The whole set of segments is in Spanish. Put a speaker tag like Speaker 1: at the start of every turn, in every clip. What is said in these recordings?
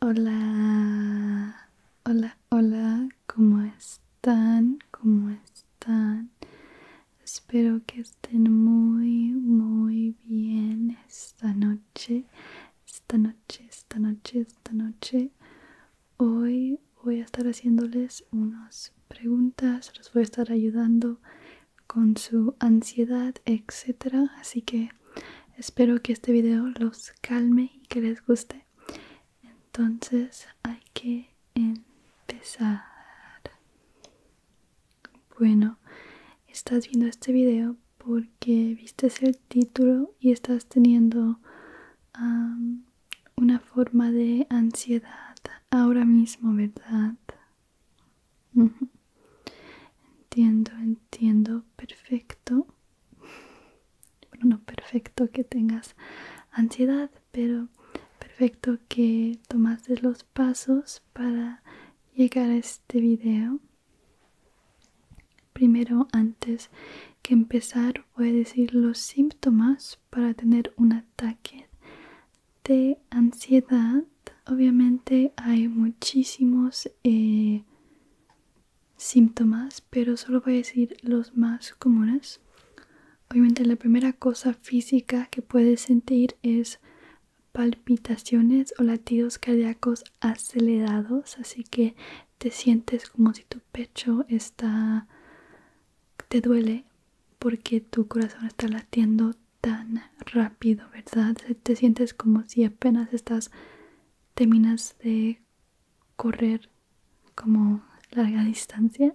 Speaker 1: Hola, hola, hola, ¿cómo están? ¿Cómo están? Espero que estén muy, muy bien esta noche, esta noche, esta noche, esta noche. Hoy voy a estar haciéndoles unas preguntas, los voy a estar ayudando con su ansiedad, etcétera. Así que espero que este video los calme y que les guste entonces hay que empezar bueno estás viendo este video porque viste el título y estás teniendo una forma de ansiedad ahora mismo verdad Entiendo, entiendo, perfecto. Bueno, no perfecto que tengas ansiedad, pero perfecto que tomaste los pasos para llegar a este video. Primero, antes que empezar, voy a decir los síntomas para tener un ataque de ansiedad obviamente hay muchísimos eh, síntomas pero solo voy a decir los más comunes obviamente la primera cosa física que puedes sentir es palpitaciones o latidos cardíacos acelerados así que te sientes como si tu pecho te duele porque tu corazón está latiendo tan rápido, ¿verdad? Te sientes como si apenas estás, terminas de correr como larga distancia.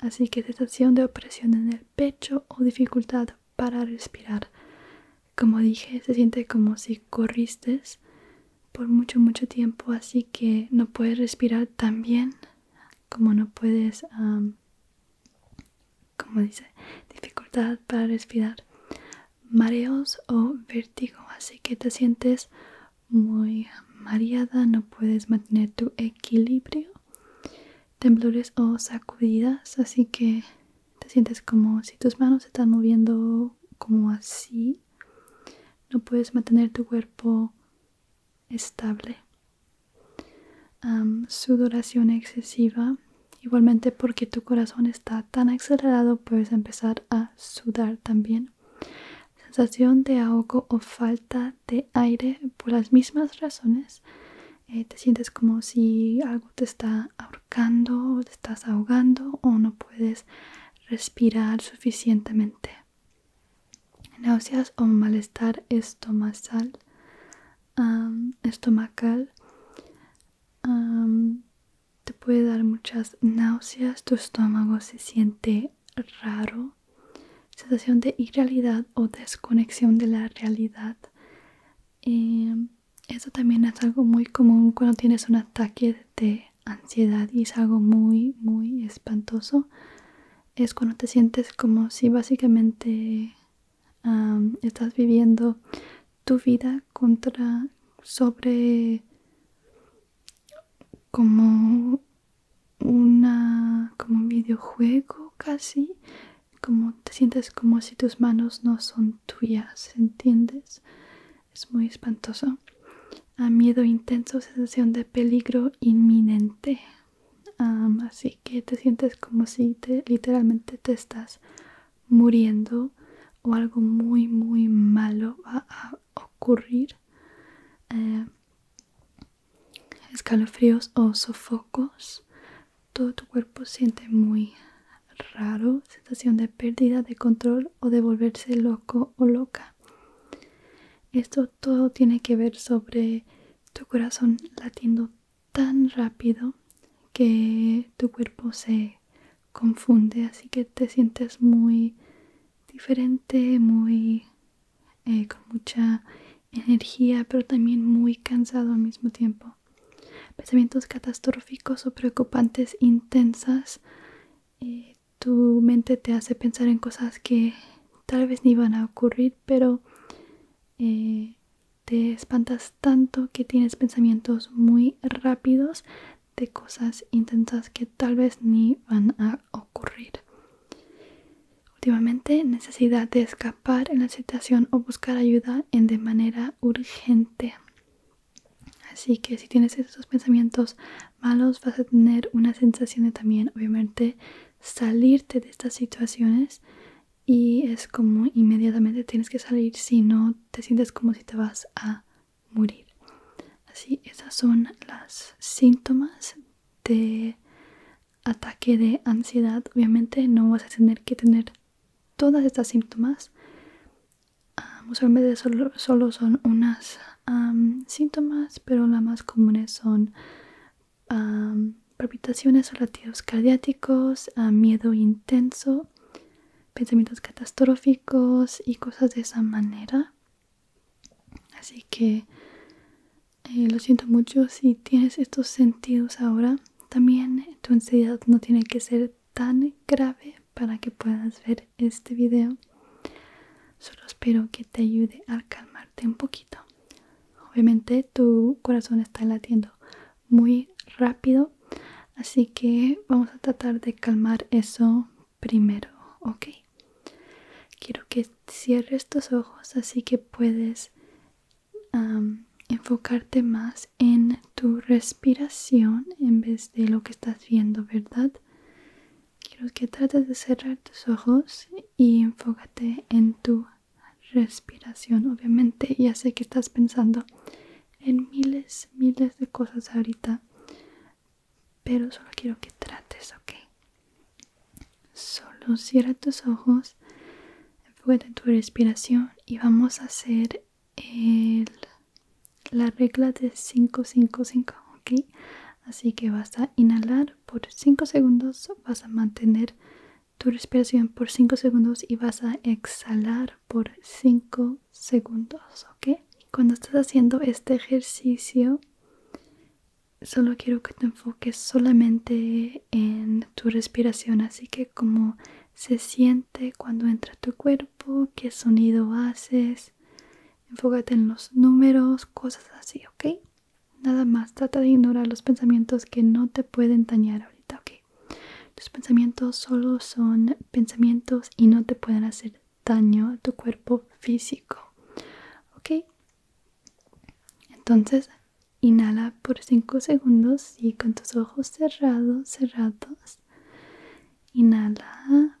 Speaker 1: así que sensación de opresión en el pecho o dificultad para respirar. Como dije, se siente como si corriste por mucho, mucho tiempo, así que no puedes respirar tan bien como no puedes como dice, dificultad para respirar, mareos o vértigo, así que te sientes muy mareada, no puedes mantener tu equilibrio, temblores o sacudidas, así que te sientes como si tus manos se están moviendo como así, no puedes mantener tu cuerpo estable sudoración excesiva. Igualmente porque tu corazón está tan acelerado puedes empezar a sudar también. Sensación de ahogo o falta de aire por las mismas razones. Eh, te sientes como si algo te está ahorcando, te estás ahogando o no puedes respirar suficientemente. Náuseas o malestar estomacal estomacal te puede dar muchas náuseas tu estómago se siente raro sensación de irrealidad o desconexión de la realidad em, eso también es algo muy común cuando tienes un ataque de ansiedad y es algo muy muy espantoso es cuando te sientes como si básicamente estás viviendo tu vida contra sobre como una un videojuego casi como te sientes como si tus manos no son tuyas entiendes es muy espantoso a miedo intenso sensación de peligro inminente así que te sientes como si te, literalmente te estás muriendo o algo muy muy malo va a ocurrir eh, escalofríos o sofocos todo tu cuerpo siente muy raro sensación de pérdida de control o de volverse loco o loca esto todo tiene que ver sobre tu corazón latiendo tan rápido que tu cuerpo se confunde así que te sientes muy diferente muy eh, con mucha energía pero también muy cansado al mismo tiempo pensamientos catastróficos o preocupantes intensas eh, tu mente te hace pensar en cosas que tal vez ni van a ocurrir pero eh, te espantas tanto que tienes pensamientos muy rápidos de cosas intensas que tal vez ni van a ocurrir. Últimamente, necesidad de escapar en la situación o buscar ayuda en de manera urgente. Así que si tienes esos pensamientos malos, vas a tener una sensación de también, obviamente, salirte de estas situaciones y es como inmediatamente tienes que salir si no te sientes como si te vas a morir. Así, esas son las síntomas de ataque de ansiedad. Obviamente no vas a tener que tener todas estas síntomas. usualmente solo, son unas síntomas, pero las más comunes son a palpitaciones o latidos cardíacos, a miedo intenso, pensamientos catastróficos y cosas de esa manera. Así que eh, lo siento mucho si tienes estos sentidos ahora. También tu ansiedad no tiene que ser tan grave para que puedas ver este video. Solo espero que te ayude a calmarte un poquito. Obviamente tu corazón está latiendo muy rápido, así que vamos a tratar de calmar eso primero, ¿ok? Quiero que cierres tus ojos así que puedes enfocarte más en tu respiración en vez de lo que estás viendo, ¿verdad? quiero que trates de cerrar tus ojos y enfócate en tu respiración. Obviamente ya sé que estás pensando en miles, miles de cosas ahorita, pero solo quiero que trates, ¿ok? Solo cierra tus ojos, enfócate en tu respiración y vamos a hacer el, la regla de 5-5-5 Así que vas a inhalar por 5 segundos, vas a mantener tu respiración por 5 segundos y vas a exhalar por 5 segundos, ¿ok? Cuando estás haciendo este ejercicio, solo quiero que te enfoques solamente en tu respiración, así que cómo se siente cuando entra tu cuerpo, qué sonido haces, enfócate en los números, cosas así, ¿ok? Nada más, trata de ignorar los pensamientos que no te pueden dañar ahorita, ¿ok? Tus pensamientos solo son pensamientos y no te pueden hacer daño a tu cuerpo físico, ¿ok? Entonces, inhala por cinco segundos y con tus ojos cerrados, cerrados. Inhala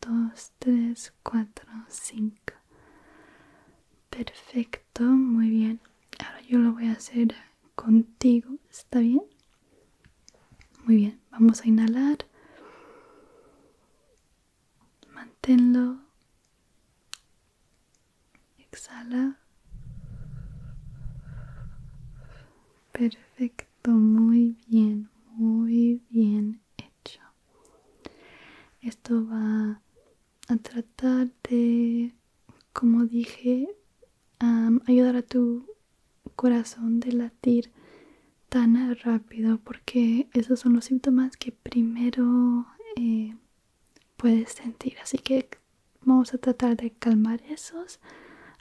Speaker 1: 2, 3, 4, 5. Perfecto, muy bien. Ahora yo lo voy a hacer contigo, ¿está bien? Muy bien, vamos a inhalar. Manténlo. Exhala. Perfecto, muy bien, muy bien. Esto va a tratar de, como dije, ayudar a tu corazón de latir tan rápido porque esos son los síntomas que primero eh, puedes sentir así que vamos a tratar de calmar esos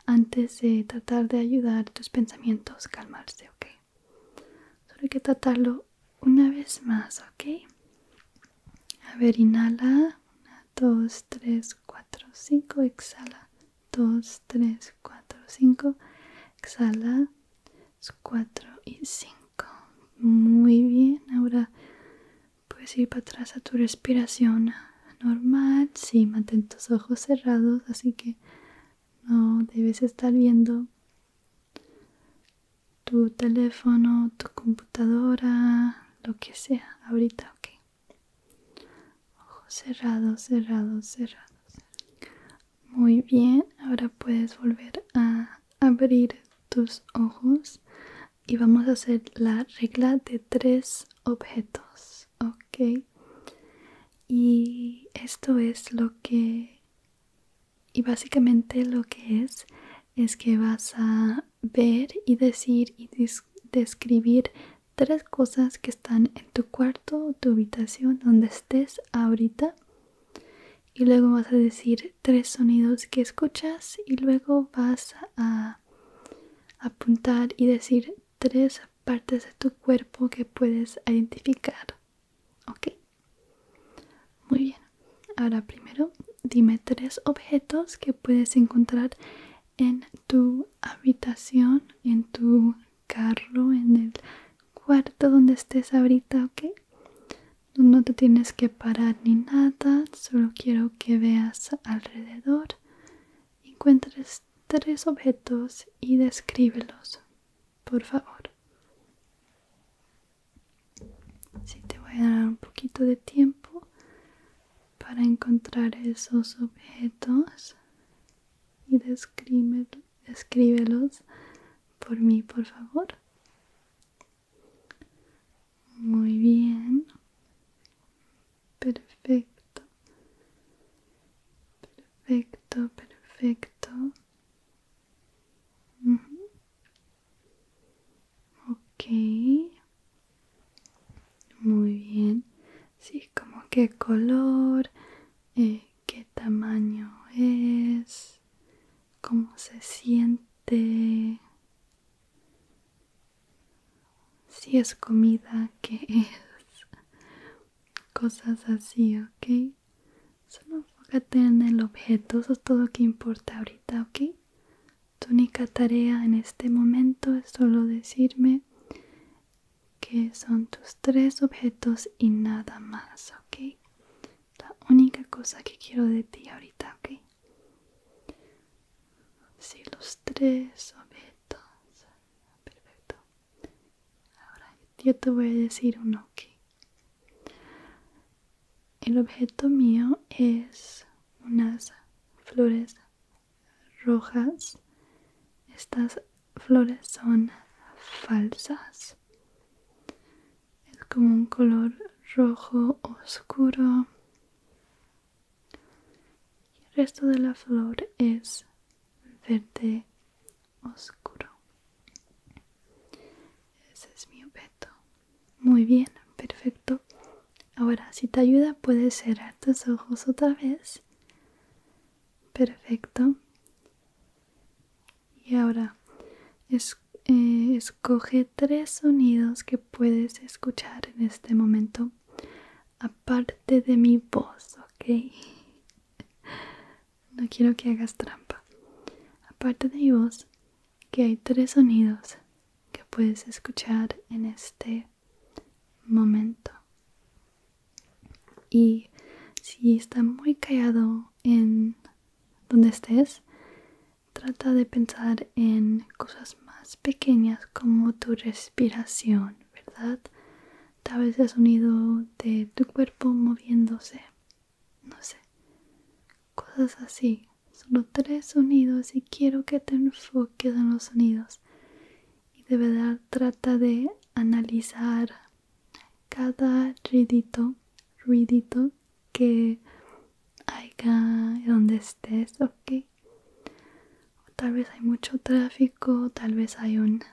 Speaker 1: antes de tratar de ayudar tus pensamientos a calmarse ok Solo hay que tratarlo una vez más, ¿ok? A ver, inhala. 1, 2, 3, 4, 5. Exhala. 2, 3, 4, 5. Exhala. 4 y 5. Muy bien. Ahora puedes ir para atrás a tu respiración normal. Sí, mantén tus ojos cerrados, así que no debes estar viendo tu teléfono, tu computadora, lo que sea, ahorita, ok. Ojos cerrados, cerrados, cerrados. Muy bien, ahora puedes volver a abrir tus ojos y vamos a hacer la regla de tres objetos, ok. Y esto es lo que y básicamente lo que es es que vas a ver y decir y describir tres cosas que están en tu cuarto, tu habitación, donde estés ahorita. Y luego vas a decir tres sonidos que escuchas y luego vas a apuntar y decir tres partes de tu cuerpo que puedes identificar. ¿Ok? Muy bien. Ahora primero dime tres objetos que puedes encontrar en tu habitación, en tu carro, en el cuarto donde estés ahorita, ¿ok? No te tienes que parar ni nada, solo quiero que veas alrededor, encuentres tres objetos y descríbelos por favor. si te voy a dar un poquito de tiempo para encontrar esos objetos y describe, descríbelos por mí, por favor. Muy bien. Perfecto. Perfecto, perfecto. Ok. Muy bien. Sí, como qué color, eh, qué tamaño es, cómo se siente. Si es comida, ¿qué es? Cosas así, ¿ok? Solo enfócate en el objeto, eso es todo lo que importa ahorita, ¿ok? Tu única tarea en este momento es solo decirme que son tus tres objetos y nada más, ¿ok? La única cosa que quiero de ti ahorita, ¿ok? Si, los tres objetos. Perfecto. Ahora yo te voy a decir uno que el objeto mío es unas flores rojas. Estas flores son falsas. Es como un color rojo oscuro. y El resto de la flor es verde oscuro. Ese es mi objeto. Muy bien, perfecto. Ahora, si te ayuda, puedes cerrar tus ojos otra vez. Perfecto. Y ahora, eh, escoge tres sonidos que puedes escuchar en este momento, aparte de mi voz, ¿ok? no quiero que hagas trampa. Aparte de mi que hay tres sonidos que puedes escuchar en este momento. Y si está muy callado en donde estés, trata de pensar en cosas más pequeñas como tu respiración, ¿verdad? tal vez el sonido de tu cuerpo moviéndose, no sé, cosas así. Solo tres sonidos y quiero que te enfoques en los sonidos. Y de verdad trata de analizar cada ruidito, ruidito que haya donde estés, ok. tal vez hay mucho tráfico, tal vez hay un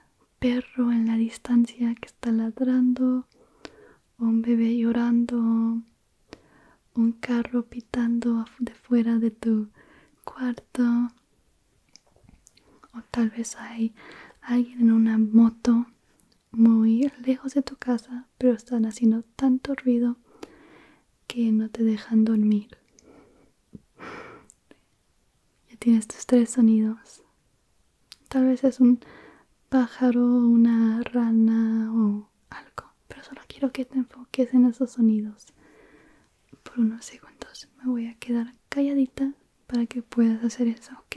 Speaker 1: perro en la distancia que está ladrando, un bebé llorando, un carro pitando de fuera de tu cuarto, o tal vez hay alguien en una moto muy lejos de tu casa, pero están haciendo tanto ruido que no te dejan dormir. Ya tienes tus tres sonidos. Tal vez es un pájaro, una rana o algo, pero solo quiero que te enfoques en esos sonidos. Por unos segundos me voy a quedar calladita para que puedas hacer eso, ¿ok?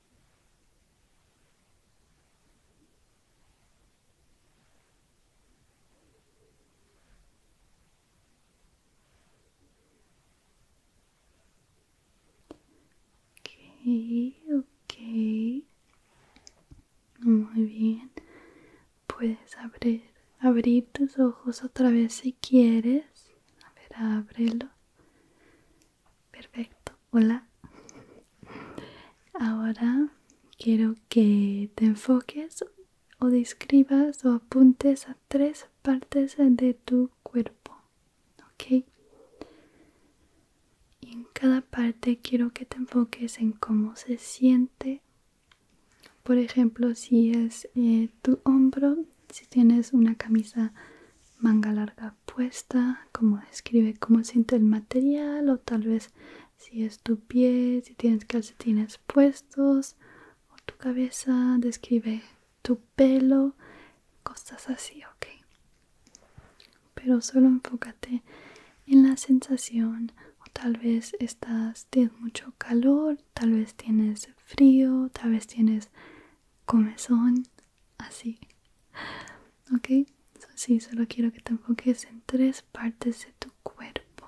Speaker 1: ok muy bien puedes abrir abrir tus ojos otra vez si quieres a ver ábrelo Perfecto, hola. Ahora quiero que te enfoques o describas o apuntes a tres partes de tu cuerpo, ¿ok? en cada parte quiero que te enfoques en cómo se siente. Por ejemplo, si es eh, tu hombro, si tienes una camisa manga larga puesta, como describe cómo siente el material o tal vez si es tu pie, si tienes calcetines puestos o tu cabeza, describe tu pelo, cosas así, ok. Pero solo enfócate en la sensación o tal vez estás, tienes mucho calor, tal vez tienes frío, tal vez tienes comezón así ok si solo quiero que te enfoques en tres partes de tu cuerpo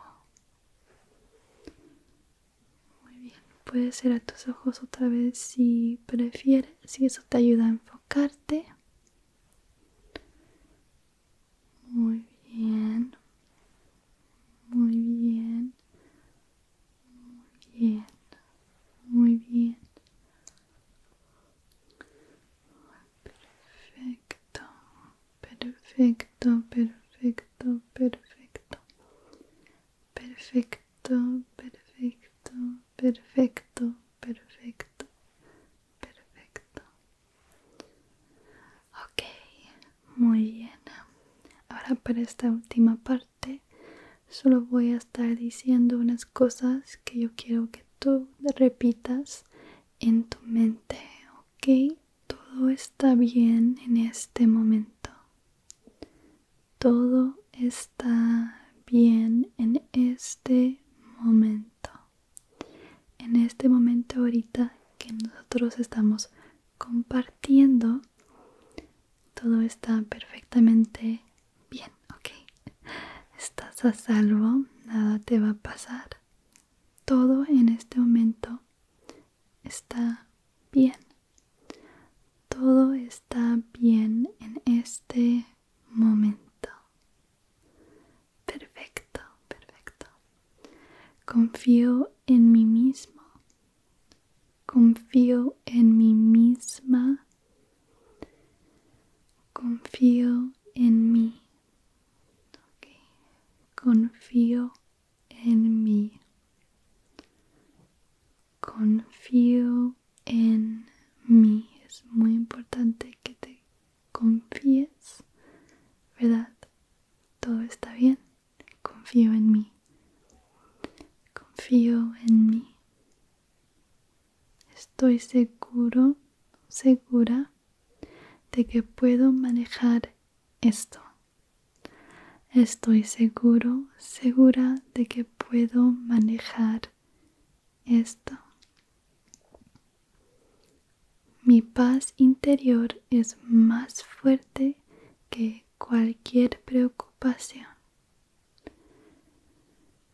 Speaker 1: muy bien puedes a tus ojos otra vez si prefieres si eso te ayuda a enfocarte muy bien muy bien muy bien, muy bien. Perfecto, perfecto, perfecto, perfecto. Perfecto, perfecto, perfecto, perfecto, perfecto. Ok, muy bien. Ahora para esta última parte solo voy a estar diciendo unas cosas que yo quiero que tú repitas en tu mente ok todo está bien en este momento todo está bien en este momento en este momento ahorita que nosotros estamos compartiendo todo está perfectamente bien, ok. Estás a salvo, nada te va a pasar. Todo en este momento está bien. Todo está bien en este momento. Perfecto, perfecto. Confío en mí mismo Confío en mí misma. Confío en mí. Confío en mí. Confío en mí. Es muy importante que te confíes, ¿verdad? Todo está bien confío en mí, confío en mí. Estoy seguro, segura de que puedo manejar esto. Estoy seguro, segura de que puedo manejar esto. Mi paz interior es más fuerte que cualquier preocupación.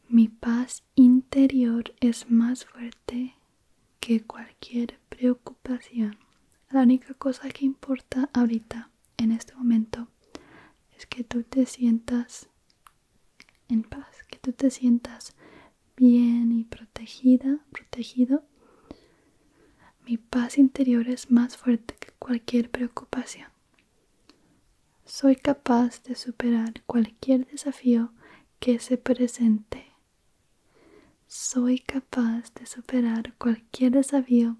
Speaker 1: Mi paz interior es más fuerte que cualquier preocupación. La única cosa que importa ahorita, en este momento, es que tú te sientas en paz, que tú te sientas bien y protegida, protegido mi paz interior es más fuerte que cualquier preocupación. Soy capaz de superar cualquier desafío que se presente. Soy capaz de superar cualquier desafío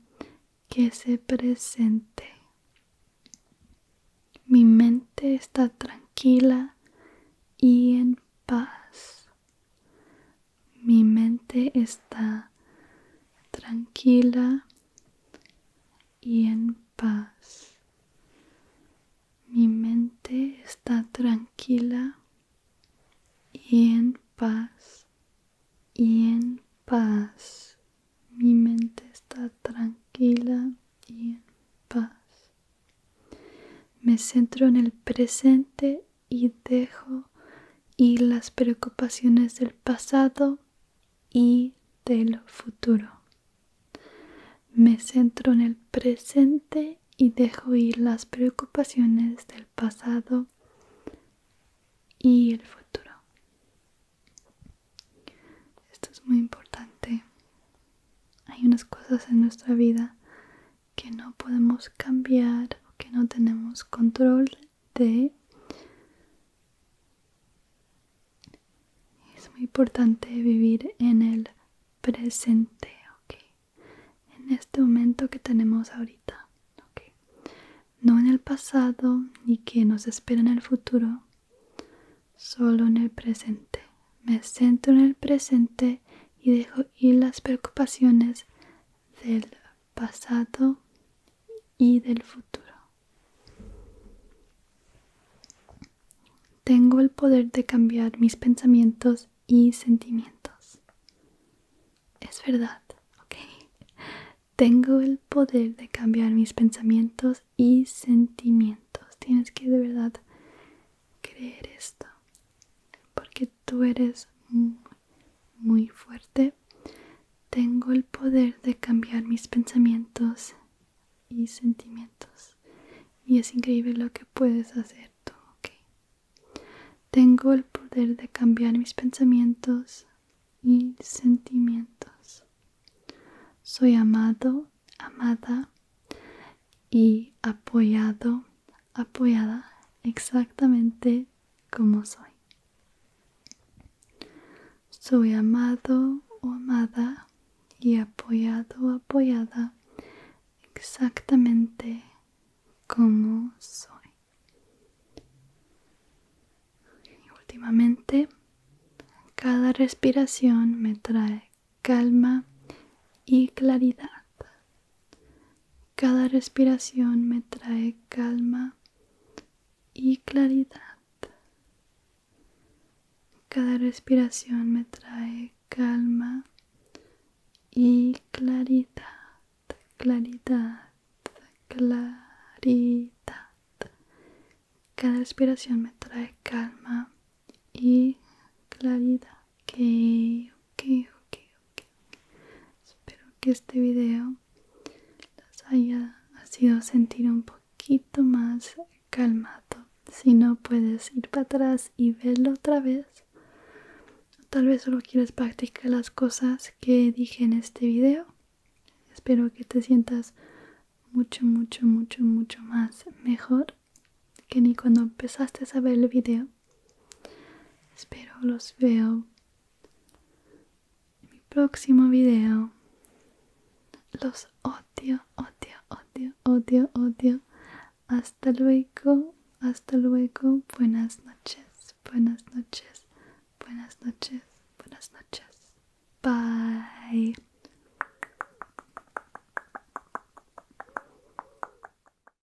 Speaker 1: que se presente. Mi mente está tranquila y en paz mi mente está tranquila y en paz. Mi mente está tranquila y en paz. Y en paz. Mi mente está tranquila y en paz. Me centro en el presente y dejo ir las preocupaciones del pasado y del futuro. Me centro en el presente y dejo ir las preocupaciones del pasado y el futuro. Esto es muy importante. Hay unas cosas en nuestra vida que no podemos cambiar o que no tenemos control es muy importante vivir en el presente, en este momento que tenemos ahorita, no en el pasado ni que nos espera en el futuro, solo en el presente. Me centro en el presente y dejo ir las preocupaciones del pasado y del futuro. Tengo el poder de cambiar mis pensamientos y sentimientos. Es verdad, ¿ok? Tengo el poder de cambiar mis pensamientos y sentimientos. Tienes que de verdad creer esto. Porque tú eres muy fuerte. Tengo el poder de cambiar mis pensamientos y sentimientos. Y es increíble lo que puedes hacer tú, ¿ok? Tengo el poder de cambiar mis pensamientos y sentimientos. Soy amado, amada y apoyado apoyada exactamente como soy. Soy amado o amada y apoyado apoyada exactamente como soy. Y últimamente, cada respiración me trae calma y claridad cada respiración me trae calma y claridad. Cada respiración me trae calma y claridad, claridad, claridad. Cada respiración me trae calma y claridad. Ok, ok, ok, Espero que este video los haya sido sentir un poquito más calmado. Si no puedes ir para atrás y verlo otra vez, tal vez solo quieres practicar las cosas que dije en este video. Espero que te sientas mucho, mucho, mucho, mucho más mejor que ni cuando empezaste a ver el video. Espero los veo en mi próximo video. Los odio, odio, odio, odio, odio. Hasta luego, hasta luego. Buenas noches, buenas noches, buenas noches, buenas noches. Bye.